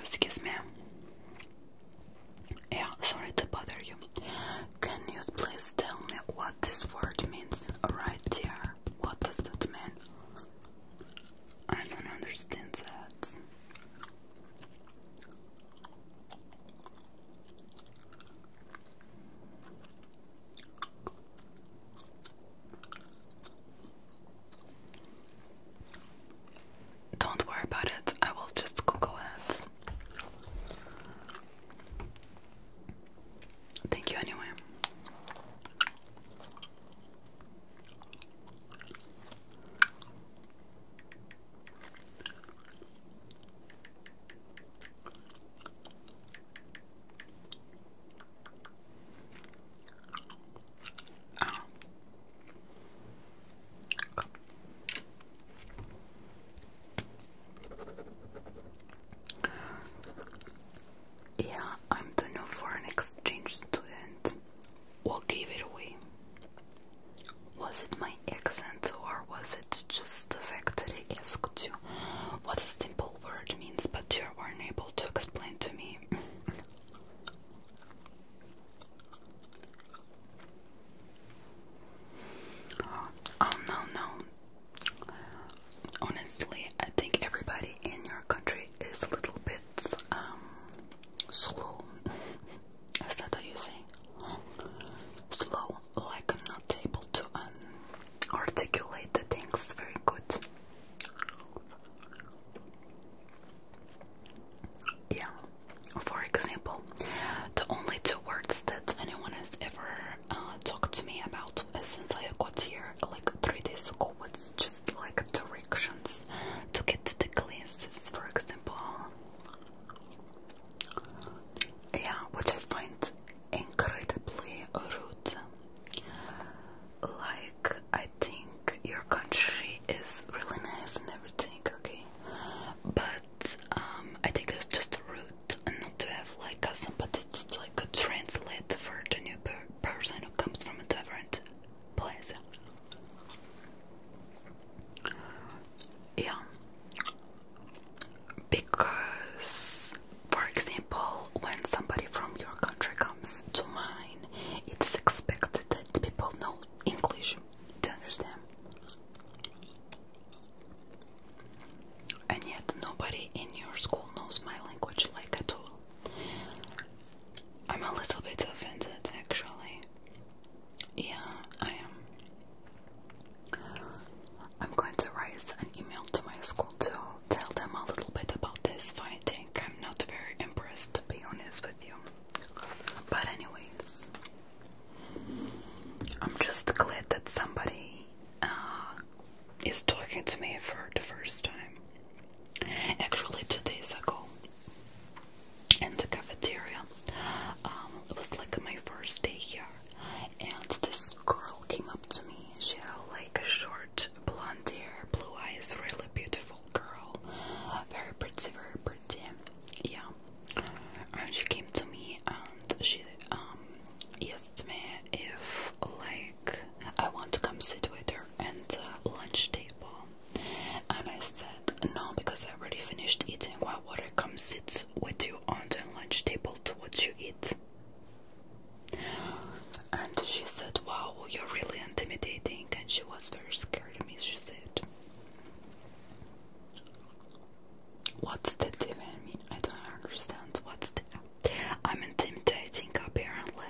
Excuse me. Yeah, sorry to bother you. Can you please tell me what this word means right here? What does that mean? I don't understand that. Don't worry about it, I will just Google it. Thank you anyway. Yeah, I'm the new foreign exchange student. What gave it away? Was it my accent or was it just the fact that I asked you what a simple word means but you were not able to explain to me? oh no, no, Honestly, I think everybody in your country is a little bit um, slow. is that how you say? Slow, like not able to um, articulate the things very good. Yeah, for example, the only two words that anyone has ever uh, talk to me about uh, since I got here like three days ago was just like directions to get to the classes, for example. Yeah, which I find incredibly rude. Like, I think your country is really nice and everything, okay? But um, I think it's just rude not to have like a sympathy, to like a translate for the new person who comes from a different place. Yeah, because for example, when somebody from your country comes to mine, it's expected that people know English. to understand? And yet, nobody in your school knows my language like at all. I'm a little bit offended, actually. Yeah, I am. I'm going to write an email to my school to tell them a little bit about this fighting. I'm not very impressed, to be honest with you. But, anyways, I'm just glad that somebody uh, is talking to me for the first time. Actually, two days ago in the cafeteria, um, it was like my first day here, and this girl came up to me. She had like a short blonde hair, blue eyes, really beautiful girl, very pretty, very pretty. Yeah, and she came to me and she um me if like I want to come sit with her at the lunch table and I said no because I already finished eating why would I come sit with you on the lunch table to watch you eat and she said wow you're really intimidating and she was very scared of me she said What's the difference? I mean, I don't understand. What's the? I'm intimidating apparently.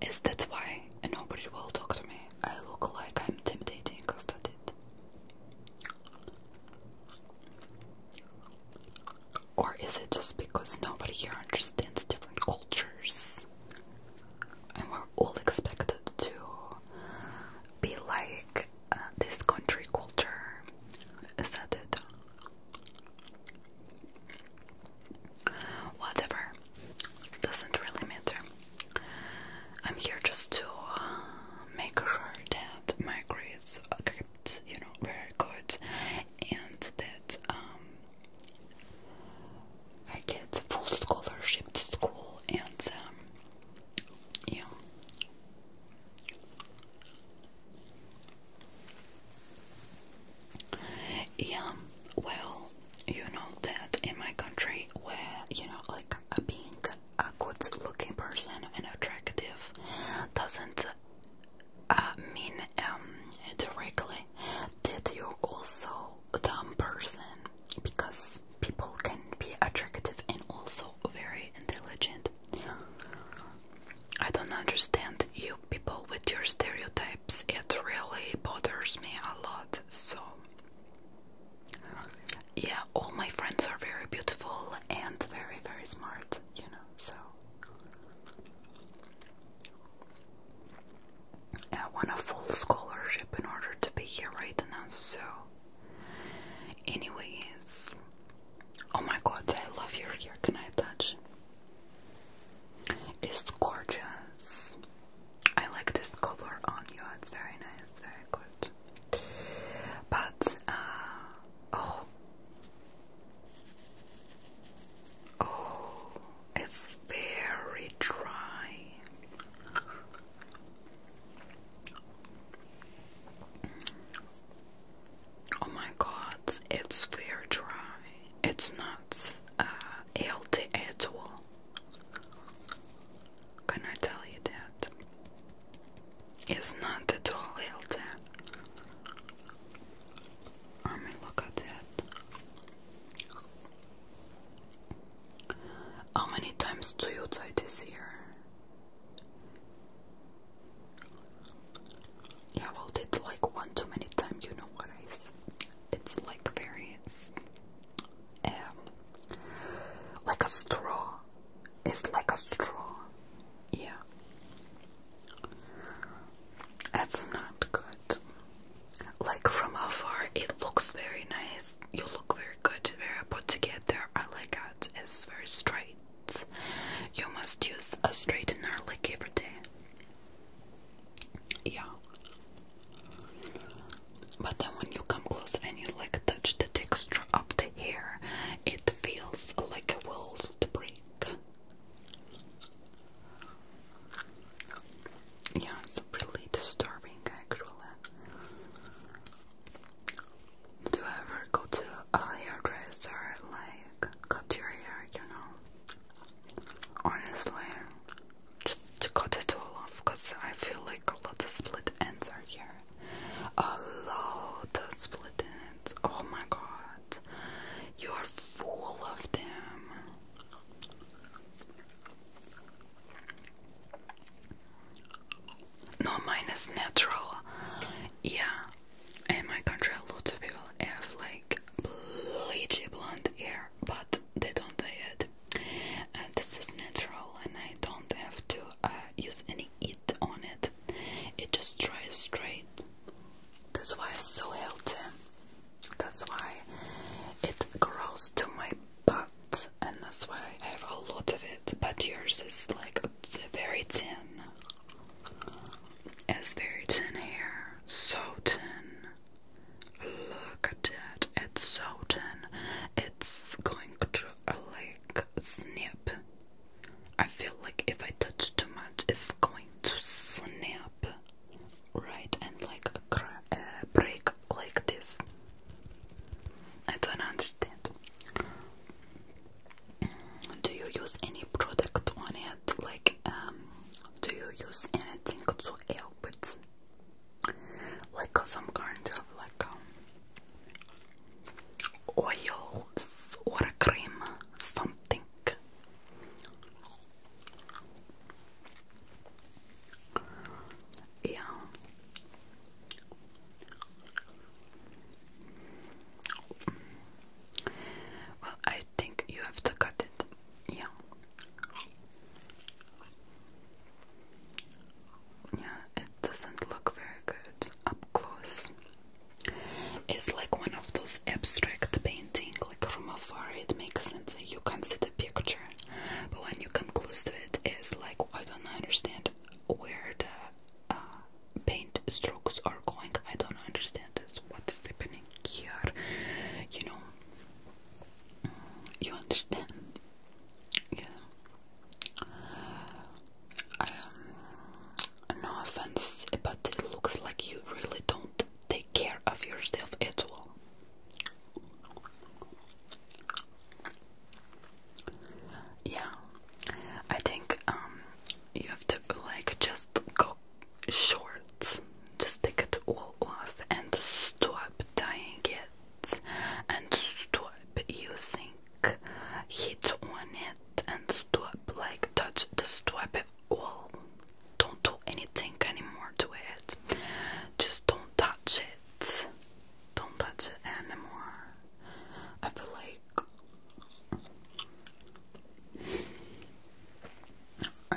Is that why nobody will talk to me? I look like I'm intimidating because that it. Or is it just because nobody here understands different cultures? And we're all expected to be like uh, this country culture started. Whatever, doesn't really matter. I'm here just to uh, make sure that my grades are you know, very good, and that um, I get full scholarship to school, and um, yeah, yeah, well, you know that in my country, where you know, like a being a good-looking person and attractive doesn't uh, mean um, directly that you're also a dumb person because people can be attractive and also very intelligent. I don't understand you people with your stereotypes, it really bothers me a lot. So, yeah, all my friends are very beautiful and very, very smart, you know, so. I want a full scholarship in order to be here right now, so Anyways, oh my god, I love your hair. Can I touch? It's gorgeous. I like this color on you. It's very nice, very good. But uh, oh, oh, it's very dry. Oh my god, it's very dry. It's not uh, healthy at all. Can I tell you that? It's not at all healthy. I mean, look at that. How many times do you die this year? Yeah, well, did like one too many times, you know what I It's like very, it's, um, like a straw. It's like a straw. Yeah. That's not good. Like from afar, it looks very nice. You look very good, very put together. I like it. It's very straight. You must use a straightener like every day. Yeah. But then when you come close and you like touch the texture of the hair, it feels like a will to break. Yeah, it's really disturbing actually. Do you ever go to a hairdresser, like cut your hair, you know? Honestly, just to cut it all off, cause I feel like a lot of split ends are here. A lot of split ends. Oh my god, you are full of them. No, mine is natural. Yeah, in my country, a of people have like bleachy blonde hair, but they don't dye it. And this is natural, and I don't have to uh, use any heat on it. It just dries straight. That's why it's so healthy. That's why it grows to my butt and that's why I have a lot of it. But yours is like very thin. It's very thin here, so thin. Look at it, it's so thin. It's going to uh, like snap. I feel like if I touch too much, it's going to snap, right? And like a uh, break like this. I don't understand. Do you use any product on it? Like, um, do you use anything to help it? Like some kind of like um, oils or cream, something. Yeah. Well, I think you have to cut it. Yeah. Yeah, it doesn't look very good up close. It's like one of those abstract painting, like from afar it makes sense. You can see the picture, but when you come close to it, it's like I don't understand where the uh, paint strokes are going. I don't understand this. What is happening here? You know, you understand? Yeah. Um, no offense, but it looks like you really don't take care of yourself at all. Yeah, I think um, you have to like just go shorts, just take it all off and stop dyeing it and stop using heat on it and stop like touch the stop it all. Don't do anything anymore to it. Just don't touch it it. Don't touch it anymore. I feel like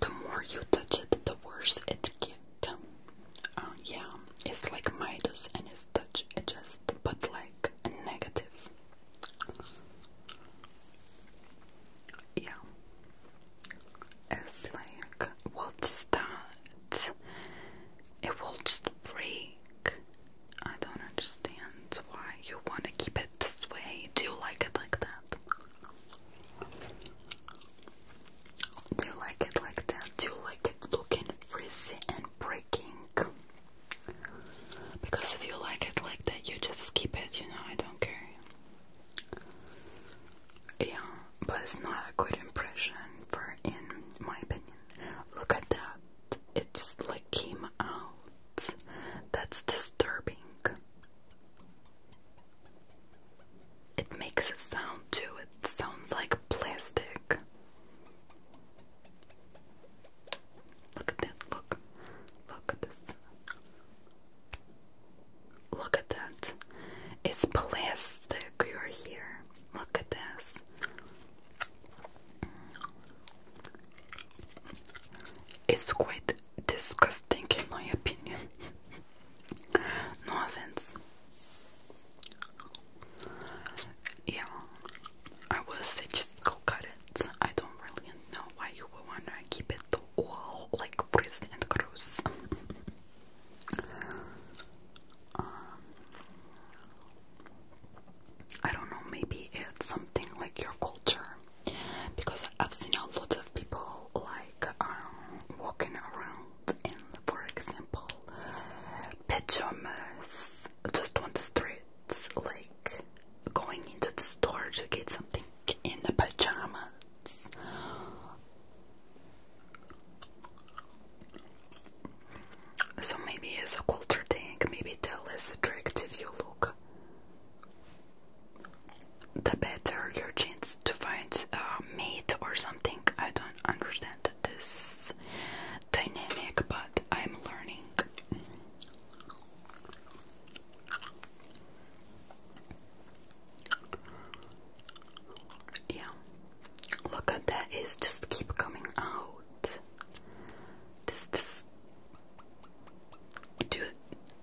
the more you touch it, the worse it gets. Uh, yeah, it's like Midas and it's touch just, but like negative. Yeah, it's like, what's that? It will just break. I don't understand why you want to keep it this way. Do you like it like that? Do you like it like that? Do you like it looking frizzy and breaking? Because if you like it like that, you just keep it, you know, I don't care. Yeah, but it's not a good impression for in my opinion. Look at that. It's like came out. That's disturbing. It makes a sound too. It sounds like plastic. Look at that. Look. Look at this. Look at that. It's plastic right here. Look at this. It's quite disgusting in my opinion. no offense. Yeah, I will say go cut it. I don't really know why you would want to keep it all like Frisn and Cruz. um, I don't know, maybe it's something like your culture because I've seen a lot of people like um, walking around and for example, pajamas just on the streets, like going into the store to get something in the pajamas. So maybe it's a quilter tank. maybe they're less attractive you look, the better your chance to find a mate or something. I don't understand this dynamic, but I'm learning. Yeah. Look at that. It's just keep coming out. This this dude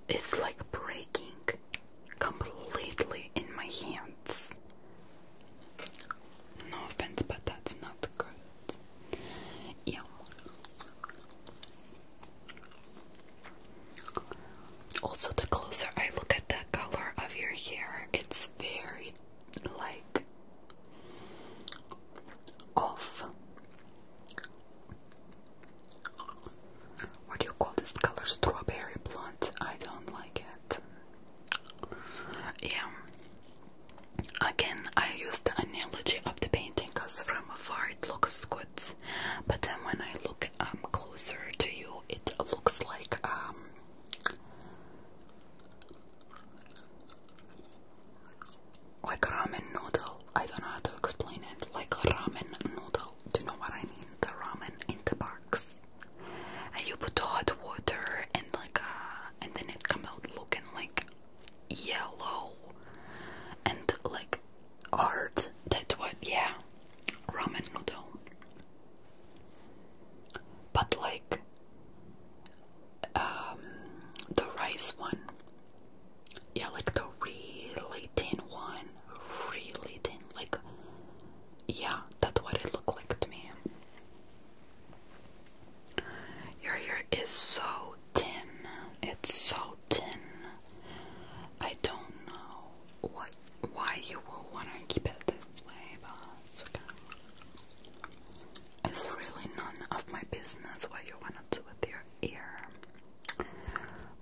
it's like breaking completely in my hands. No offense, but that's not good. Yeah. Also, the closer I look at the color of your hair, it's very like off. What do you call this color? Strawberry blonde. I don't like it. Yeah. Again, I use the analogy of the painting because from afar it looks good, but then when I look um, closer to you it looks like um like ramen noodle I don't know how to explain it like ramen noodle do you know what I mean the ramen in the box and you put hot water and like uh and then it comes out looking like yellow and like art. That what? Yeah, ramen noodle. But like um, the rice one, yeah, like the really thin one, really thin. Like, yeah, that's what it looked like to me. Your hair is so thin. It's so thin. I don't know what why you will want to keep it this way, but it's really none of my business what you want to do with your ear.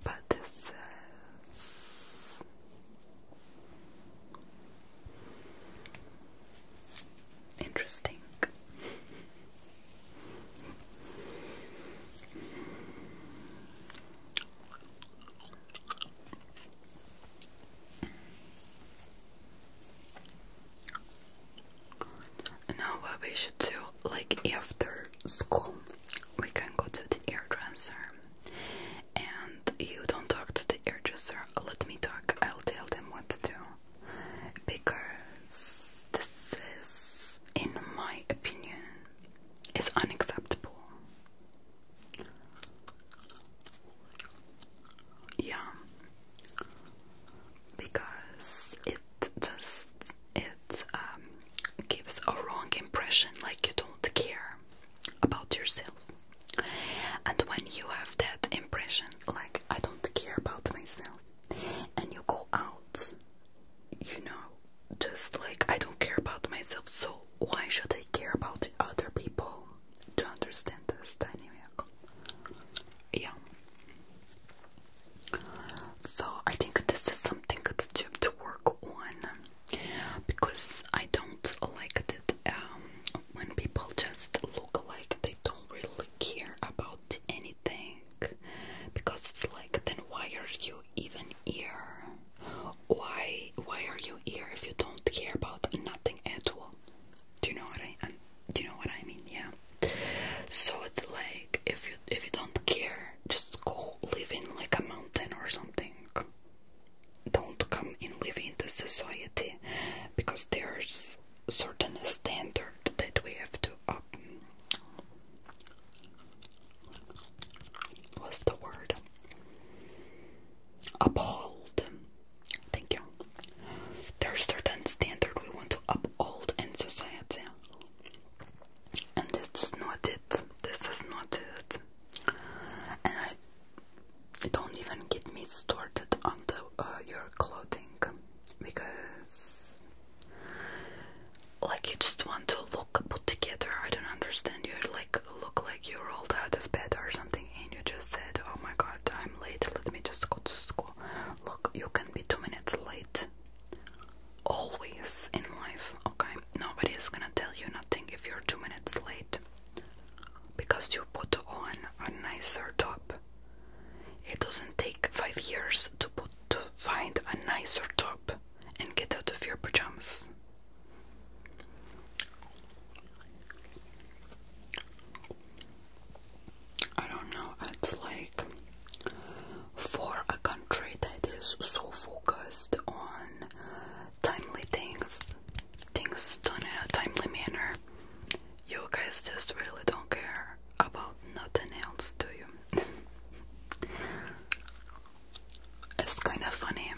But this is. Interesting. Now we should do, like after school, we can go to the air dresser, and you don't talk to the air dresser. Let me talk. I'll tell them what to do because this is, in my opinion, is unacceptable. Yeah, because it just it um, gives a wrong impression, like you don't care about yourself. And when you have that impression, like I don't care about myself, and you go out you know, just like I don't care about myself, so why should I care about other people? To understand this dynamic? Yeah. So I think this is something that you have to work on because I don't like that um, when people just look like they don't really care about anything because it's like then why are you even here? Why why are you here if you don't care about nothing at all? Do you know what I do you know what I mean? Yeah. So it's like if you if you don't care, just go living like a mountain or something. Don't come and live in the society because there's certain standard that we have to What's the word? Uphold. Thank you. There are certain standards we want to uphold in society. And this is not it. This is not it. And I don't even get me started on the, uh, your clothing because like you just want to look put together. I don't understand. You like look like you rolled out of bed or something, and you just said, "Oh my God, I'm late. Let me just go to school." Look, you can be two minutes late. Always in life, okay? Nobody is gonna tell you nothing if you're two minutes late because you put on a nicer top. It doesn't take five years to put to find a nicer top and get out of your pajamas. I don't know, it's like for a country that is so focused on timely things, things done in a timely manner, you guys just really don't care about nothing else, do you? it's kind of funny.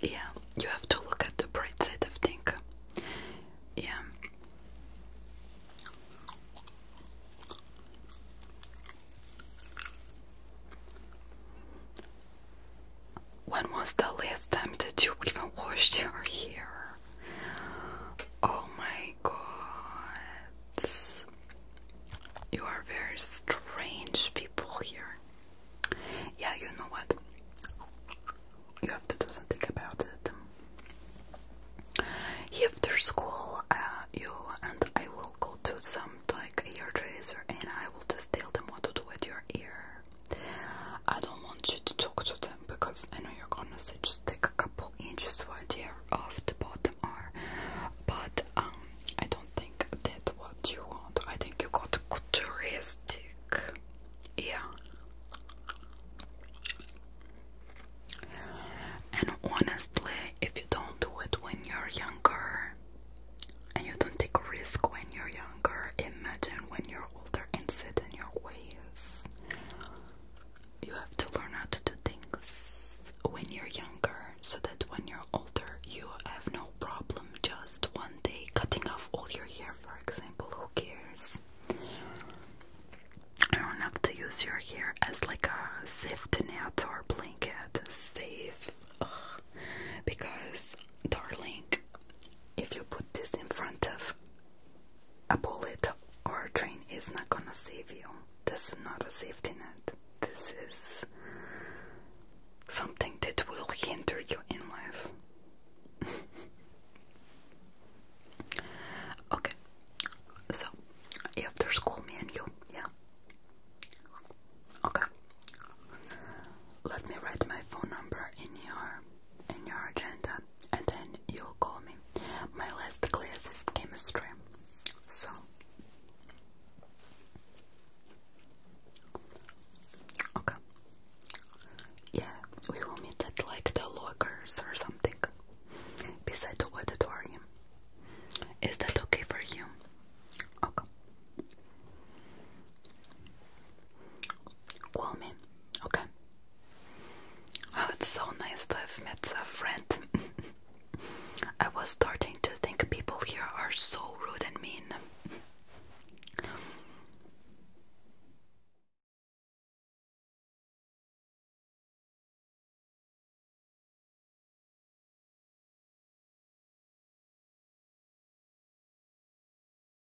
Yeah, you have to look at the bright side of things. Yeah. When was the last time that you even washed your hair? Oh my god. You are very strange people here. Yeah, you know what? You have to do something about it. After school, uh, you and I will go to some like ear tracer and I will just tell them what to do with your ear. I don't want you to talk to them because I know you're gonna say just take a couple inches right here off the bottom are but um, I don't think that's what you want. I think you got couturistic yeah and honestly if you don't do it when you're younger and you don't take a risk when you're younger, imagine when you're you older and set in your ways. You have to learn how to do things when you're younger so that when you're older, you have no problem just one day cutting off all your hair, for example. Who cares? I don't have to use your hair as like a safety net or blanket, safe. Because, darling, if you put this in front of a bullet or a train is not gonna save you. This is not a safety net. This is something that will hinder you in life. okay, so after school, me and you, yeah. Okay. Let me write my phone number in your in your agenda and then you'll call me. My last class is chemistry, so okay. Yeah, we will meet at like the lockers or something beside the auditorium. Is that okay for you? Okay. Call me, okay? Oh, it's so nice to have met a friend. I was starting to think people here are so rude and mean.